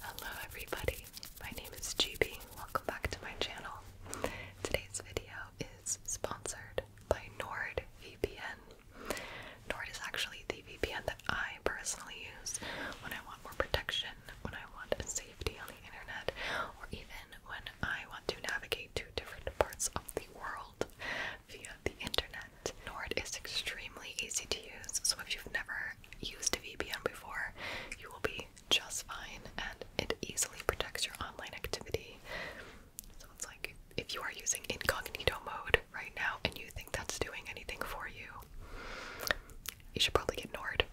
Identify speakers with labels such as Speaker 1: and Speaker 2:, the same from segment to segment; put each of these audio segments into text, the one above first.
Speaker 1: Hello everybody, my name is GB. Welcome back to my channel. Today's video is sponsored by NordVPN. Nord is actually the VPN that I personally use when I want more protection, when I want safety on the internet, or even when I want to navigate to different parts of the world via the internet. Nord is extremely easy to use, so if you've never used a VPN before, you will be just fine and it easily protects your online activity. So it's like if you are using incognito mode right now and you think that's doing anything for you, you should probably get Nord.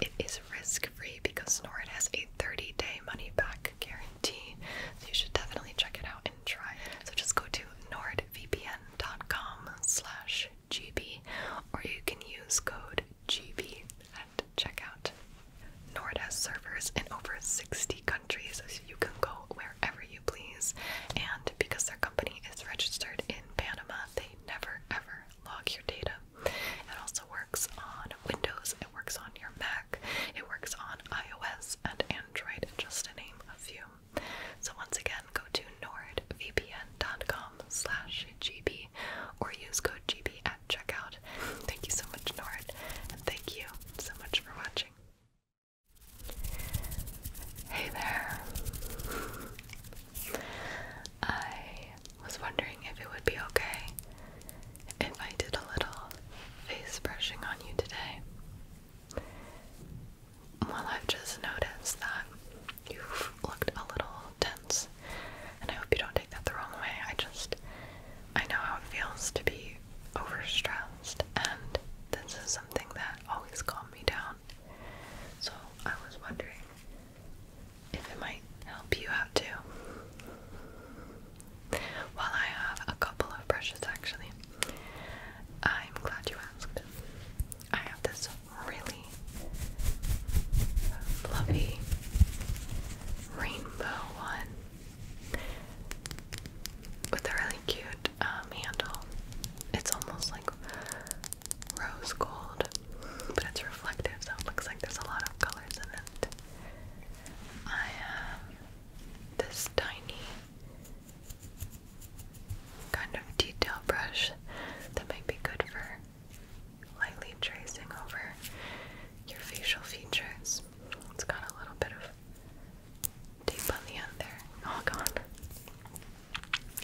Speaker 1: It is risk free because Nord has a 30 day money back guarantee, so you should definitely check it out and try. So just go to NordVPN amazon.com slash GB or you can use code GB at checkout. Nord has servers in over 60 countries, so you can go wherever you please. And because their company is registered in Panama, they never ever log your data. It also works on Windows, it works on your Mac, it works on iOS and Android, just to name a few. So once again, go to nordvpn.com slash gb or use code gb at checkout. Thank you so much, Nord, and thank you so much for watching. Hey there. I was wondering if it would be okay if I did a little face brushing on you today. Well, I've just noticed that you've looked a little tense, and I hope you don't take that the wrong way. I just, I know how it feels to be overstressed, and this is something that always calmed me down. So I was wondering if it might help you out too. Well, I have a couple of brushes actually. I'm glad you asked. I have this really fluffy rainbow one with a really cute um, handle. It's almost like rose gold, but it's reflective, so it looks like there's a lot of colors in it. I have this tiny kind of detail brush that might be good for lightly tracing over your facial features. It's got a little bit of tape on the end there, all oh, gone.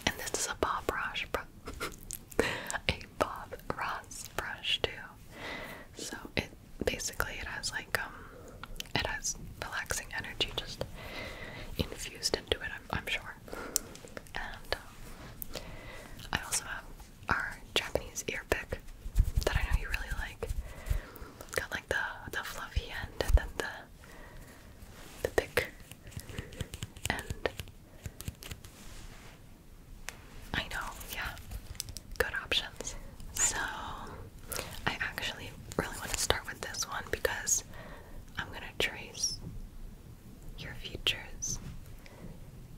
Speaker 1: And this is a Bob Ross, a Bob Ross brush too. So it basically it has like. Um, it has relaxing energy just infused into it. I'm, sure. And um, I also have our Japanese ear pick that I know you really like. got like the the fluffy end and then the the pick end. I know, yeah. Good options. So I actually really want to start with this one because I'm going to trace your features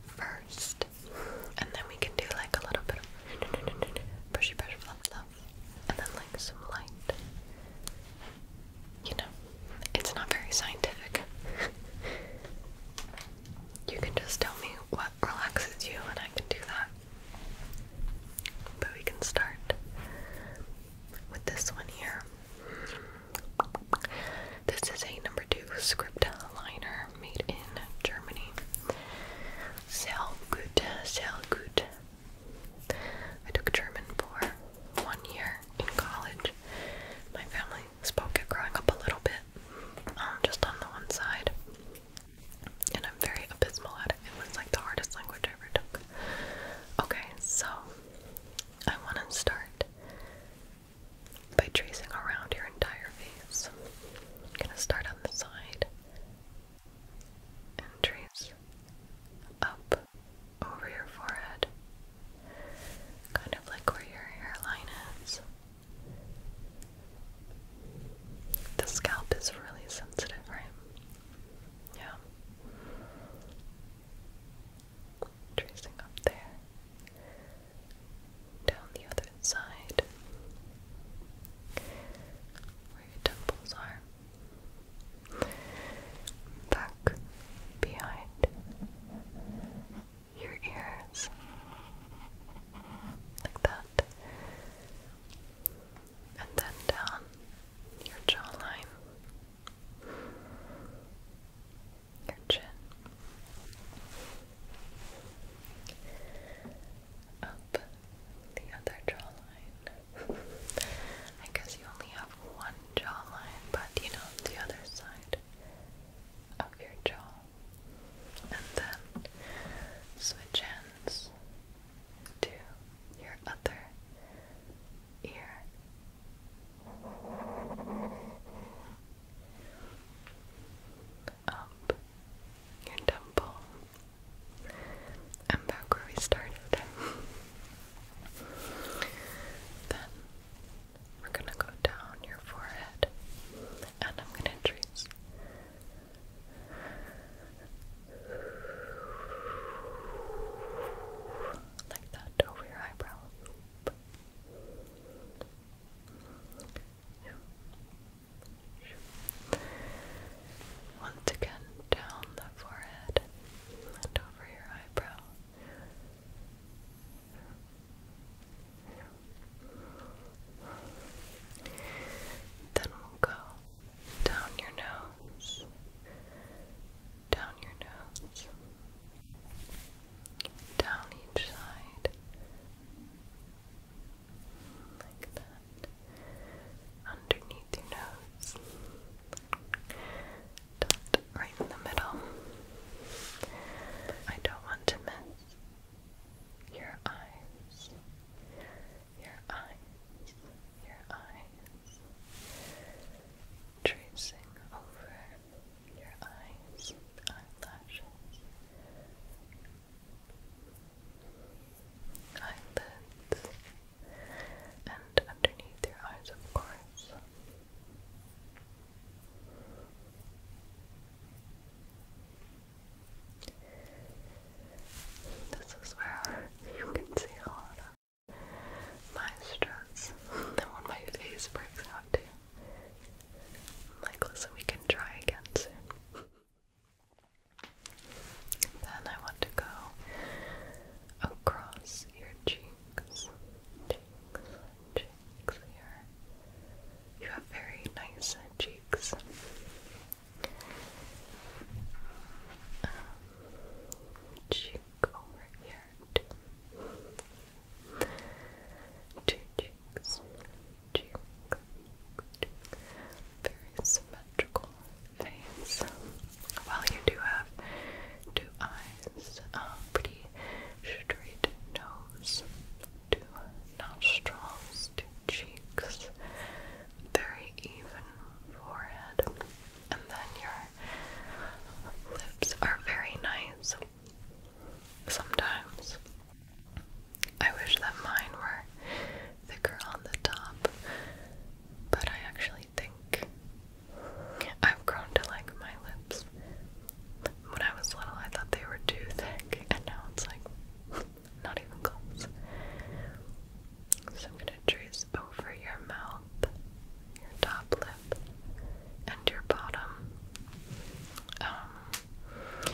Speaker 1: first, and then we can do like a little bit of pushy, push, fluff, fluff, and then like some light. You know, it's not very scientific. you can just tell me what relaxes you, and I can do that. But we can start with this one here. This is a number two script liner made in Germany. Sehr gut, sehr gut. I took German for one year in college. My family spoke it growing up a little bit, um, just on the one side and I'm very abysmal at it. It was like the hardest language I ever took. Okay, so I want to start by tracing around your entire face. I'm going to start on the side and trace up over your forehead, kind of like where your hairline is. The scalp is really sensitive, right? Yeah. Tracing up there. Down the other side. Where your temples are. Back behind your ears. Like that and then down your jawline, your chin. Up the other jawline. I guess you only have one jawline, but you know, the other side of your jaw. And then switch ends to your other ear. Up your temple. i back where we started. then we're gonna go down your forehead and I'm gonna trace like that over your eyebrow. Once again, down the forehead and over your eyebrow. Then we'll go down your nose, down your nose, down each side, like that, underneath your nose, dot right in the middle. I don't want to miss your eyes, your eyes, your eyes, tracing over your eyes, eyelashes, eyelids, and underneath your eyes, of course. This is where you can see a lot of my stress and when my face breaks out too. Like, listen, we can try again soon. Then I want to go across your cheeks, cheeks, cheeks here. You have very nice cheeks. Um, over here. Two, two cheeks. Very symmetrical face. Well, you do have two eyes, um, pretty straight nose, to nostrils, to cheeks, very even forehead, and then your lips are very nice. Sometimes I wish that mine were thicker on the top, but I actually think I've grown to like my lips. When I was little, I thought they were too thick, and now it's like not even close. So I'm going to trace over your mouth, your top lip, and your bottom. Um,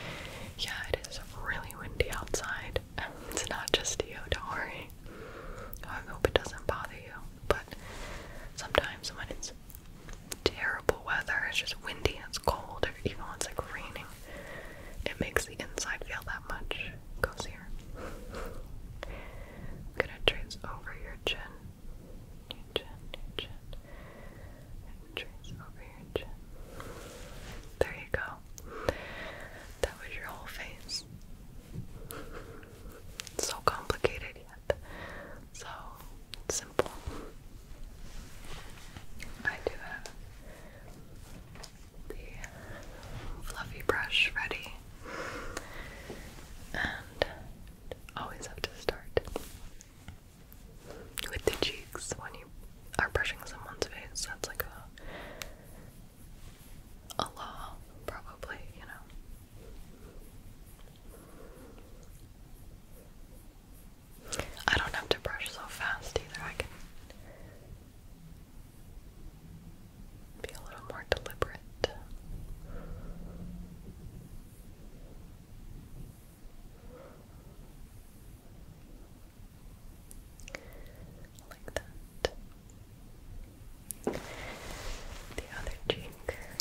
Speaker 1: yeah, it is really windy outside. It's not just you, do I hope it doesn't bother you, but sometimes when it's terrible weather, it's just windy, it's cold, or even when it's like raining, it makes the inside feel that much cozier. i gonna trace over your chin. Your chin, chin. trace over your chin. There you go. That was your whole face. So complicated yet so simple. I do have the fluffy brush ready, and always have to start with the cheeks when you are brushing someone's face. That's like a a law, probably, you know. I don't have to brush so fast either. I can be a little more deliberate. Like that. The other cheek.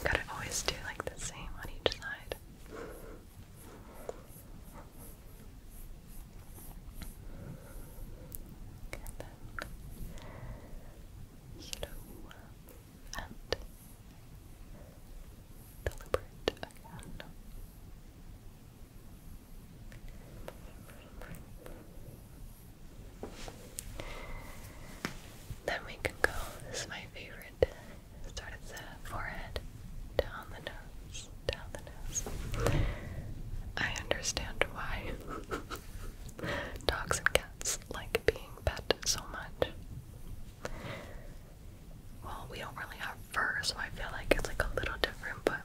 Speaker 1: Gotta always do like the same on each side yellow and deliberate again. Then we can go. This is my favorite Start the forehead, down the nose, down the nose. I understand why dogs and cats like being pet so much. Well, we don't really have fur, so I feel like it's like a little different, but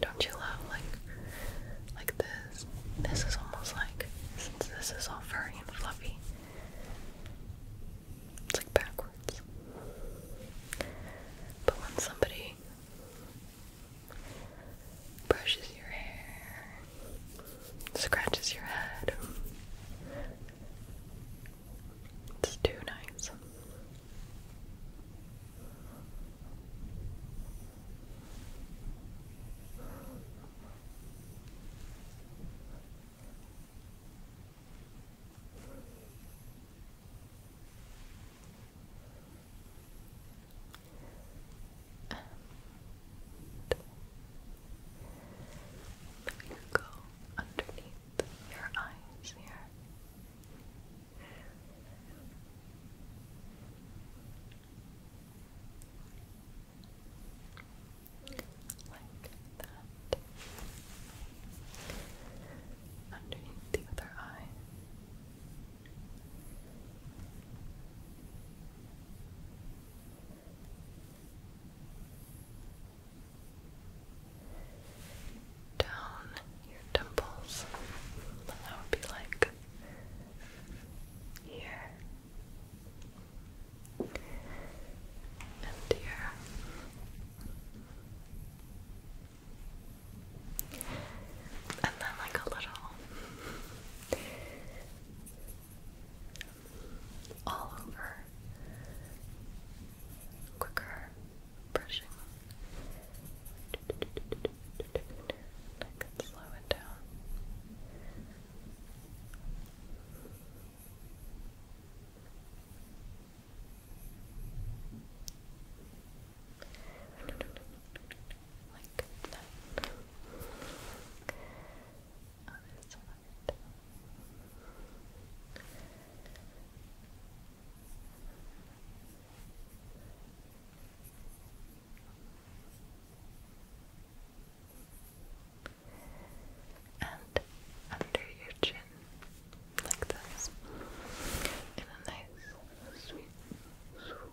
Speaker 1: don't you love like like this? This is almost like since this is all furry and fluffy. It's like backwards. But when somebody brushes your hair, scratches your head, it's too nice. And let me go underneath your eyes here. Like that. Underneath the other eye. Down your temples. That would be like here and here. And then, like a little all over quicker brushing. I can slow down. Like that. Other side and under your chin, like this, in a nice, sweep, swoop,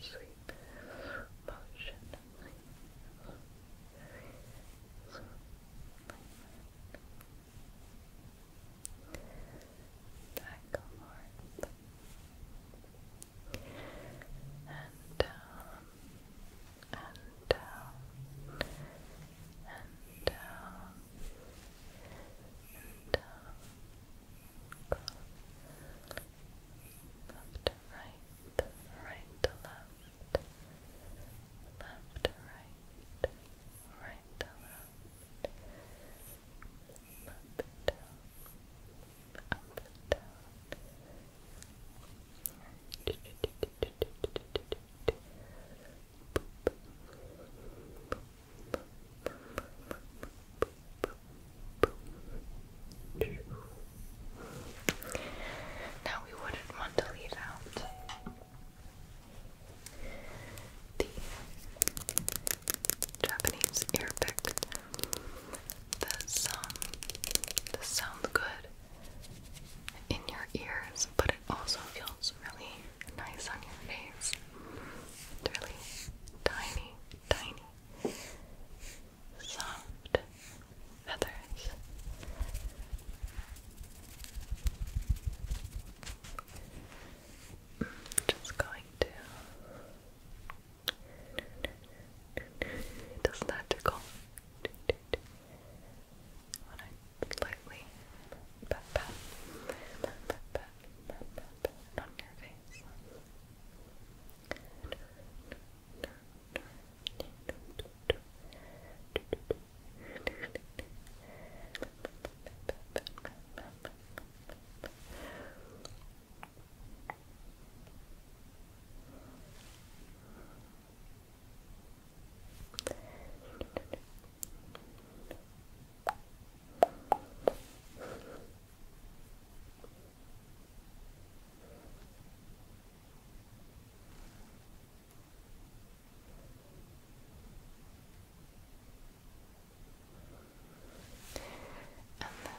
Speaker 1: sweep motion. Like back and down and down, uh, and down, uh, and down. Uh, left right, right to left, left to right, right to left, up and down, up and down. Now we wouldn't want to leave out the Japanese Arabic this um this sounds good in your ears, but it also feels really nice on your face. It's really tiny, tiny, soft feathers. Just going to doesn't that tickle? When I lightly pat pat, pat pat pat pat on your face.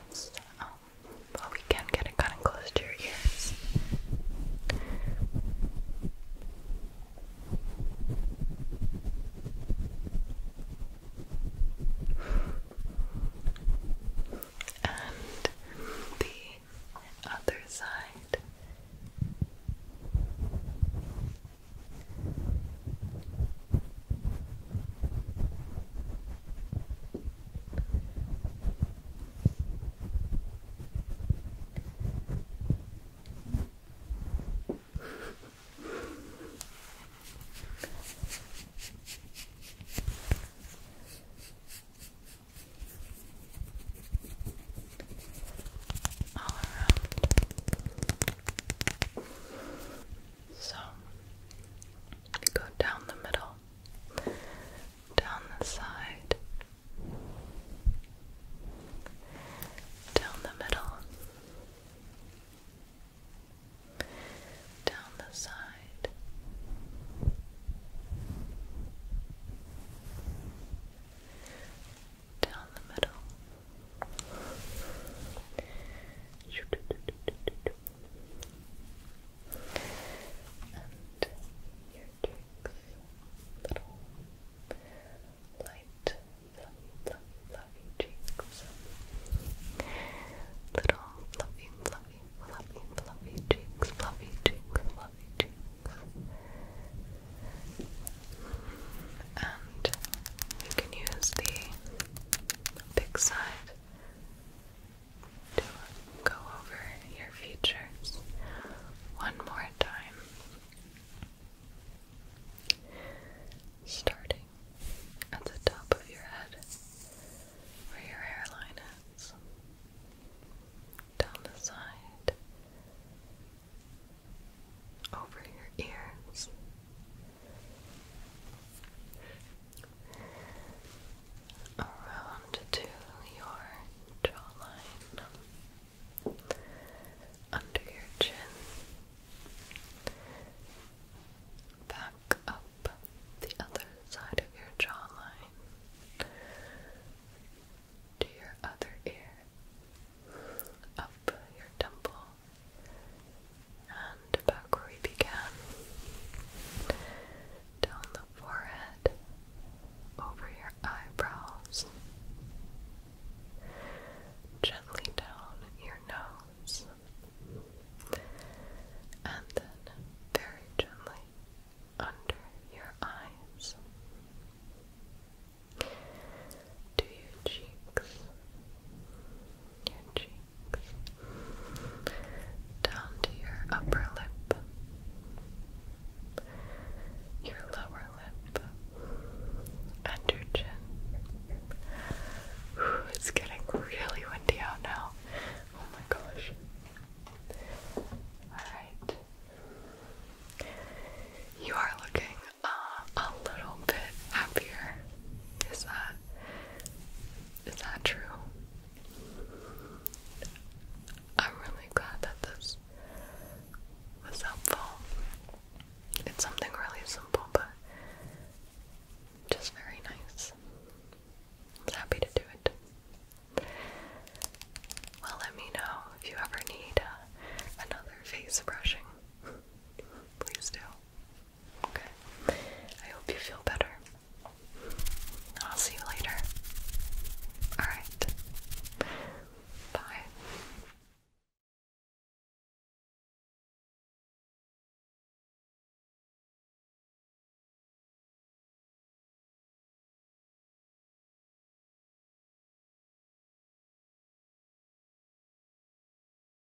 Speaker 1: And that's all but we can get it kind of close to your ears. And the other side. All around. So, go down the middle down the side, down the middle, down the side. Down the middle and your cheeks, little light, fluffy, cheeks, little fluffy, fluffy, fluffy, fluffy cheeks, fluffy cheeks, fluffy cheeks, and you can use the big side to go over your features one more time. Starting at the top of your head, where your hairline is, down the side, over your ears, around to your jawline, under your chin, back up the other side of your jawline, to your other ear, up your temple, and back where we began, down the forehead, over your eyebrows, gently down your nose, and then very gently under your eyes. To your cheeks, your cheeks, down to your upper lip, your lower lip, and your chin. it's getting really windy out now. Oh my gosh. Alright. You are looking uh, a little bit happier. Is that is that true? I'm really glad that this was helpful. It's something really simple, but just very nice. I was happy to do it. Well, let me know if you ever need uh, another face brushing. Please do. Okay. I hope you feel better. I'll see you later. Alright. Bye.